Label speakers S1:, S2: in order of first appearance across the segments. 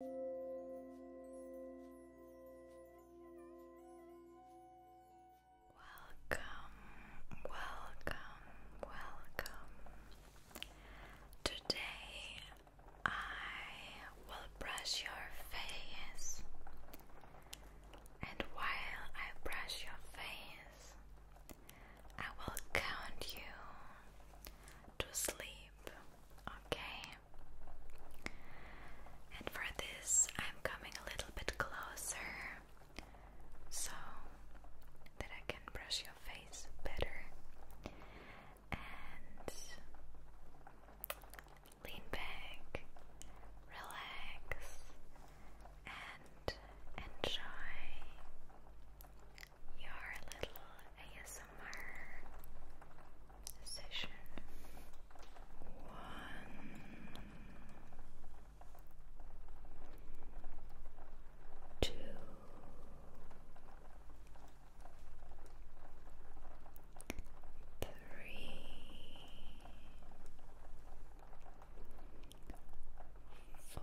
S1: Welcome, welcome, welcome. Today I will brush your face, and while I brush your face, I will count you to sleep, okay? And for this, I'm coming a little bit closer so that I can brush your face better and lean back, relax, and enjoy your little ASMR session. One. Two. Three. Four.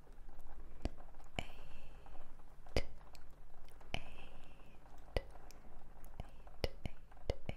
S1: eight, eight, eight, eight, eight, nine, ten, ten, ten, ten, ten, ten, ten.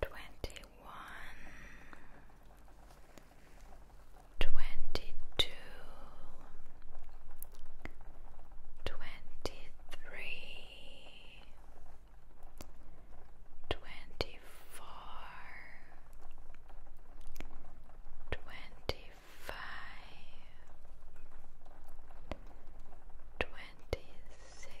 S1: Twenty-one, twenty-two, twenty-three, twenty-four, twenty-five, twenty-six.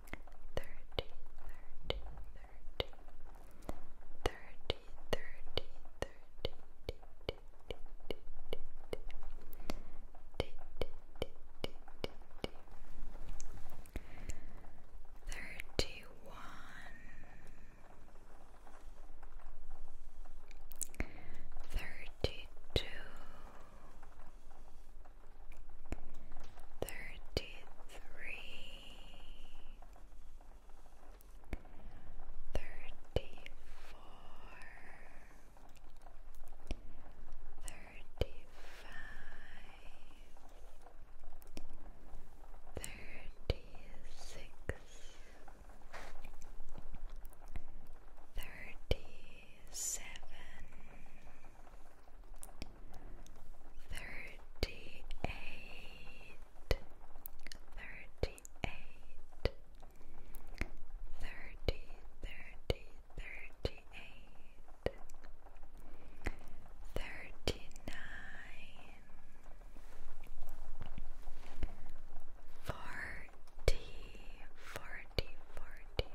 S1: thirty, thirty, thirty, thirty, thirty, thirty, thirty-four, thirty-five, thirty-six, thirty-seven. 37 thirty-eight, thirty-eight, thirty, thirty, thirty-eight, thirty-nine, forty, forty, forty, forty.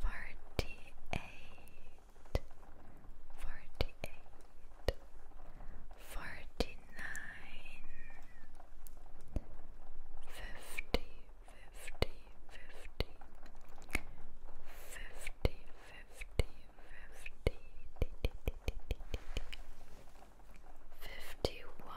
S1: forty-eight, forty-eight, forty-nine, fifty, fifty, fifty, fifty, fifty, fifty, fifty-one. 51 51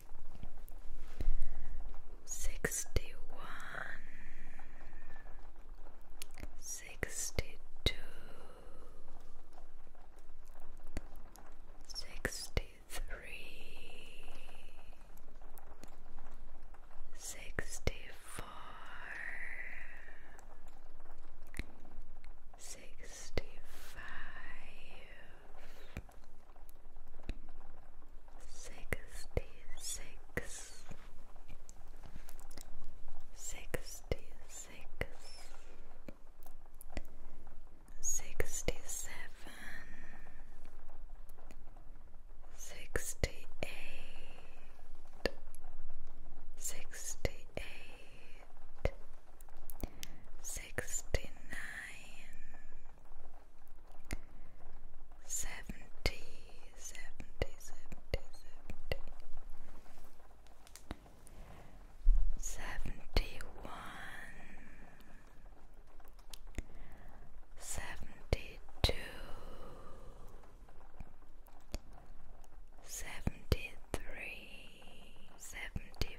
S1: sixty one, sixty two, sixty three, sixty four, sixty five sixty six, sixty six, sixty seven, sixty eight, sixty eight. 68 sixty nine, seventy, seventy, seventy, seventy, seventy one, seventy two. Seventy three, seventy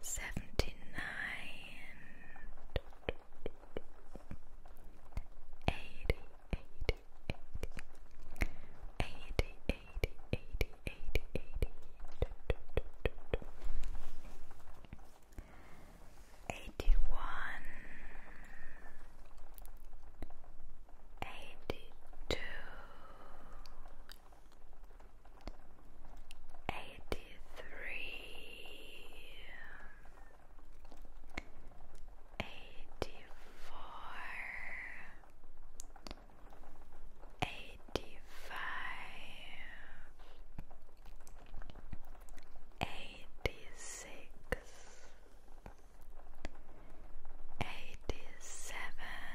S1: seventy-nine, eighty, eighty, eighty, eighty, eighty, eighty, eighty, eighty. Eighty three, eighty four, eighty five, eighty six, eighty seven.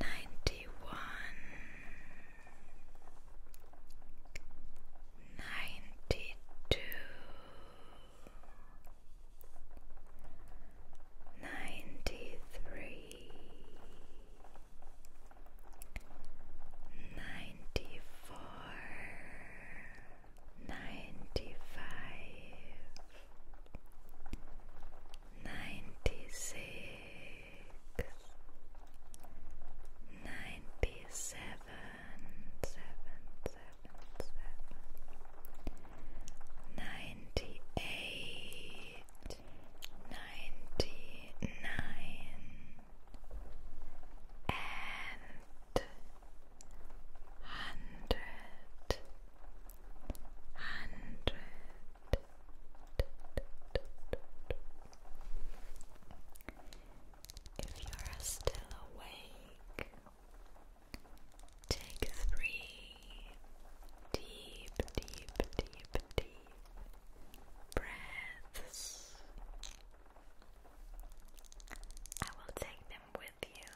S1: ninety one, ninety two, ninety three, ninety four, ninety five ninety six, ninety seven, seven, seven, seven, ninety eight, ninety nine, and Hundred hundred if you are still awake, take three deep, deep, deep, deep breaths. I will take them with you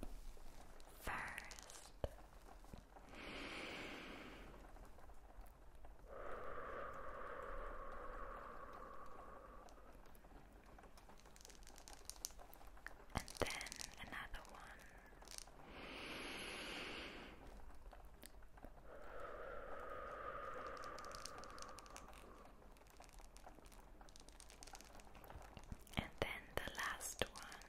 S1: first. And then another one. And then the last one.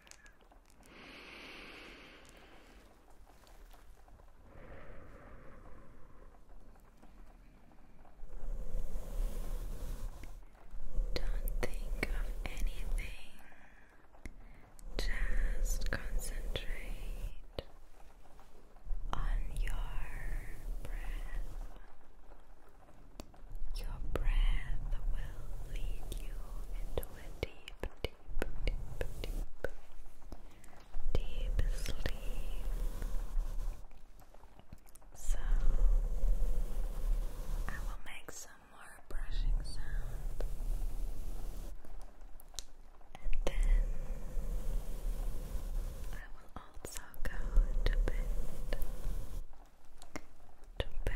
S1: Don't think of anything, just concentrate on your breath. Your breath will lead you into a deep, deep, deep, deep, deep sleep. So, I will make some brushing sound, and then I will also go to bed to bed.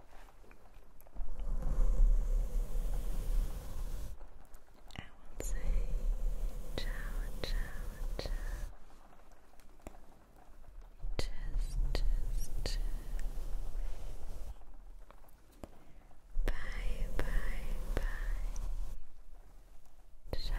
S1: I will say ciao, ciao, ciao. Just, just, just. Bye, bye, bye. Ciao,